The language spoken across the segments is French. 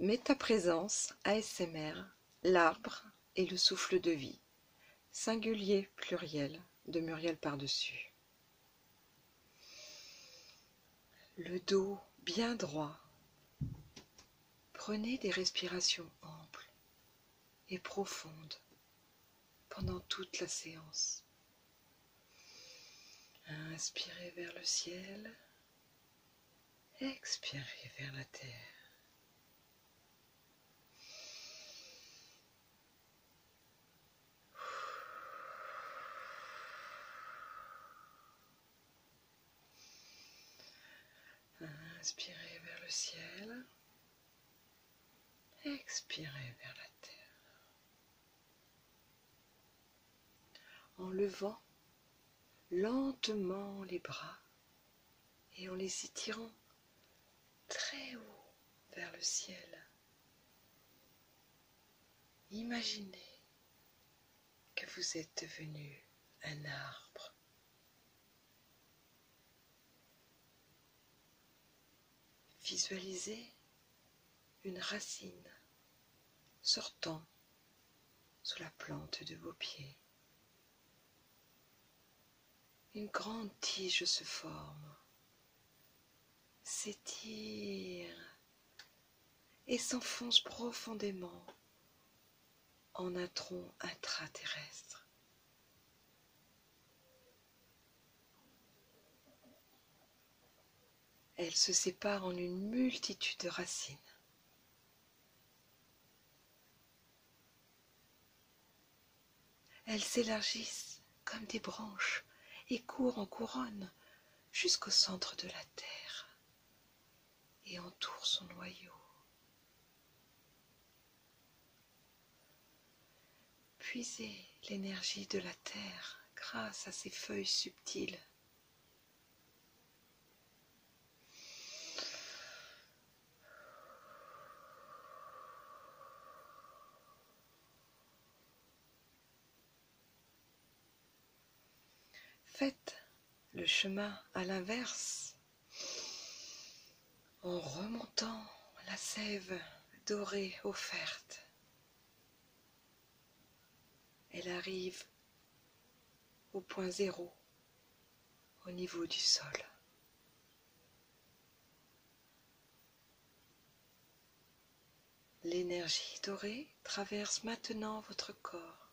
Mets ta présence, ASMR, l'arbre et le souffle de vie, singulier pluriel, de Muriel Pardessus. Le dos bien droit. Prenez des respirations amples et profondes pendant toute la séance. Inspirez vers le ciel. Expirez vers la terre. Inspirez vers le ciel. Expirez vers la terre en levant lentement les bras et en les étirant très haut vers le ciel. Imaginez que vous êtes devenu un arbre. Visualisez une racine sortant sous la plante de vos pieds. Une grande tige se forme, s'étire et s'enfonce profondément en un tronc intraterrestre elle se sépare en une multitude de racines. Elles s'élargissent comme des branches et courent en couronne jusqu'au centre de la terre et entourent son noyau. Puisez l'énergie de la terre grâce à ces feuilles subtiles. Faites le chemin à l'inverse en remontant la sève dorée offerte. Elle arrive au point zéro, au niveau du sol. L'énergie dorée traverse maintenant votre corps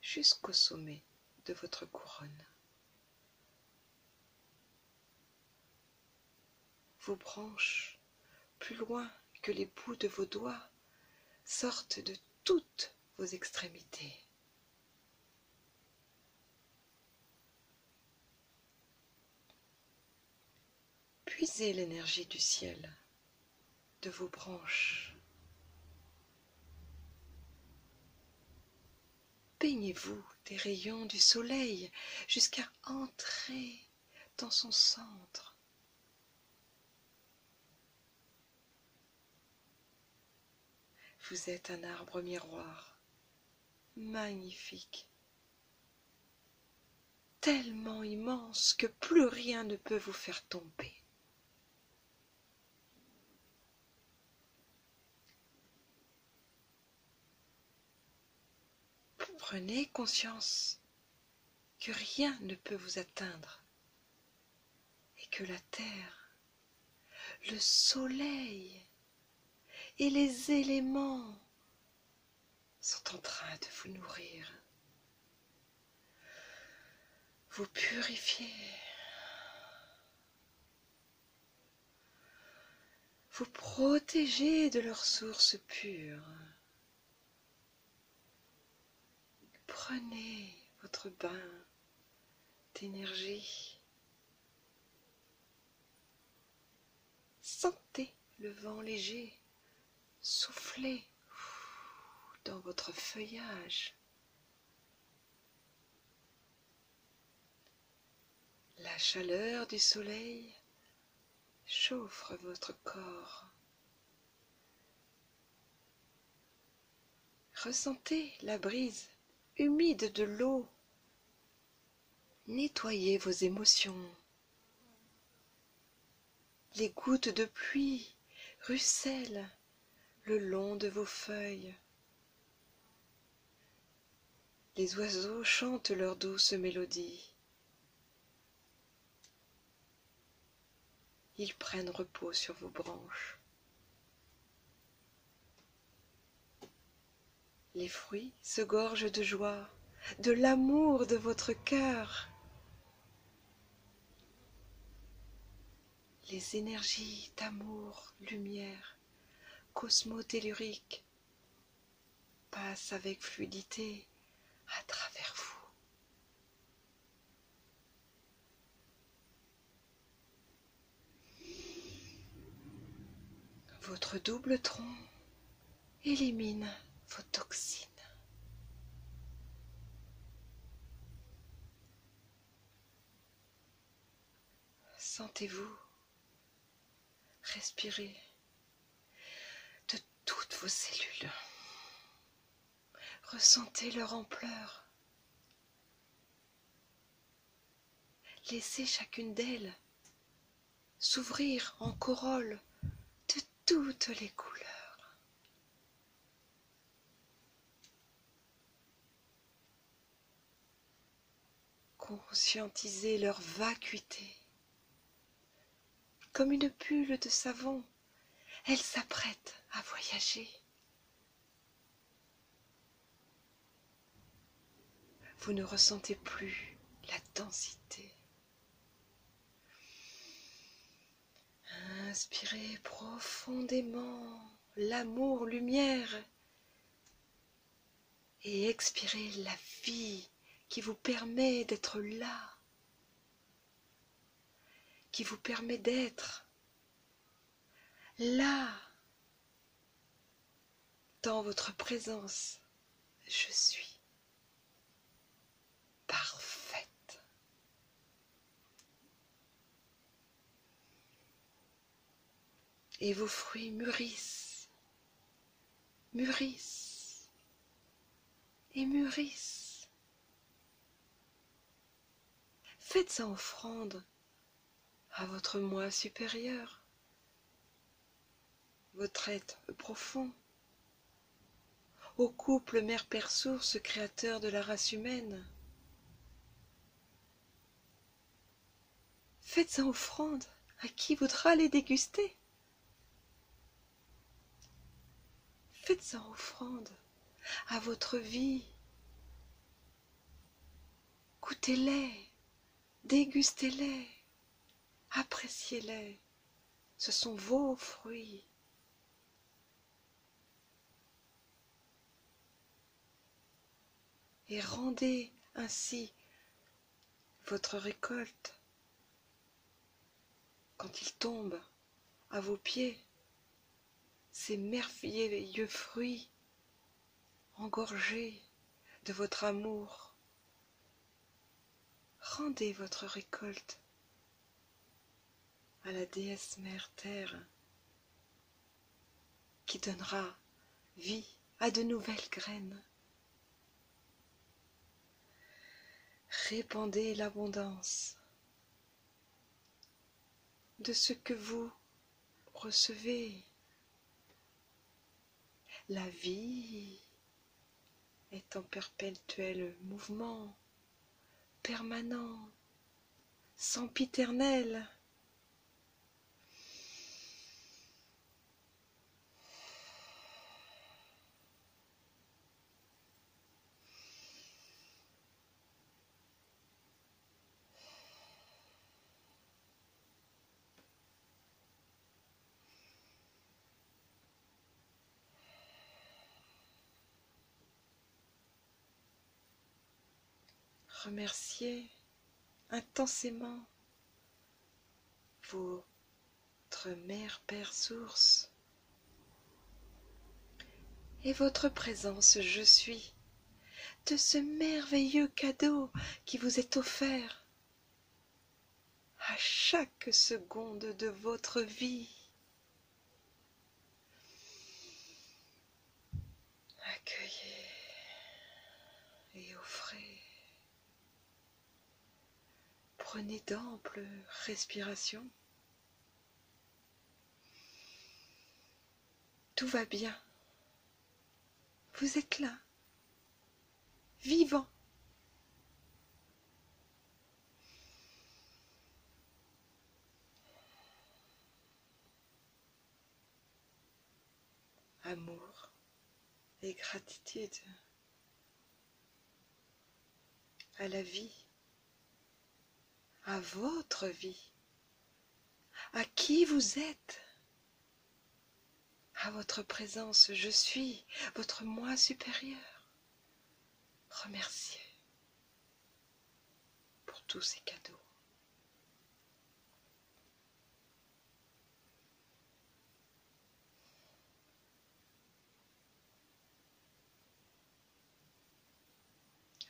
jusqu'au sommet de votre couronne. Vos branches, plus loin que les bouts de vos doigts, sortent de toutes vos extrémités. Puisez l'énergie du ciel, de vos branches peignez vous des rayons du soleil jusqu'à entrer dans son centre. Vous êtes un arbre miroir, magnifique, tellement immense que plus rien ne peut vous faire tomber. Prenez conscience que rien ne peut vous atteindre et que la terre, le soleil et les éléments sont en train de vous nourrir, vous purifier vous protégez de leurs sources pures, Prenez votre bain d'énergie. Sentez le vent léger souffler dans votre feuillage. La chaleur du soleil chauffe votre corps. Ressentez la brise humide de l'eau. Nettoyez vos émotions. Les gouttes de pluie ruissellent le long de vos feuilles les oiseaux chantent leur douces mélodie. Ils prennent repos sur vos branches. Les fruits se gorgent de joie, de l'amour de votre cœur les énergies d'amour, lumière, cosmo-tellurique passent avec fluidité à travers vous. Votre double tronc élimine vos toxines. Sentez-vous respirer de toutes vos cellules. Ressentez leur ampleur. Laissez chacune d'elles s'ouvrir en corolle de toutes les couleurs. Conscientiser leur vacuité. Comme une bulle de savon, elle s'apprête à voyager. Vous ne ressentez plus la densité. Inspirez profondément l'amour, lumière. Et expirez la vie qui vous permet d'être là, qui vous permet d'être là, dans votre présence. Je suis parfaite. Et vos fruits mûrissent, mûrissent et mûrissent. Faites en offrande à votre moi supérieur, votre être profond, au couple mère-père source créateur de la race humaine. Faites en offrande à qui voudra les déguster. Faites en offrande à votre vie. Goûtez-les, dégustez-les, appréciez-les. Ce sont vos fruits. Et rendez ainsi votre récolte quand il tombe à vos pieds, ces merveilleux fruits engorgés de votre amour. Rendez votre récolte à la déesse mère terre qui donnera vie à de nouvelles graines. Répandez l'abondance de ce que vous recevez. La vie est en perpétuel mouvement permanent, sempiternel. Remerciez intensément votre mère, père, source et votre présence je suis de ce merveilleux cadeau qui vous est offert à chaque seconde de votre vie. Accueillez et offrez. Prenez d'amples respirations. Tout va bien. Vous êtes là vivant amour et gratitude à la vie, à votre vie, à qui vous êtes, à votre présence, je suis, votre moi supérieur. Remerciez pour tous ces cadeaux.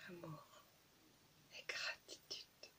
Amour et gratitude.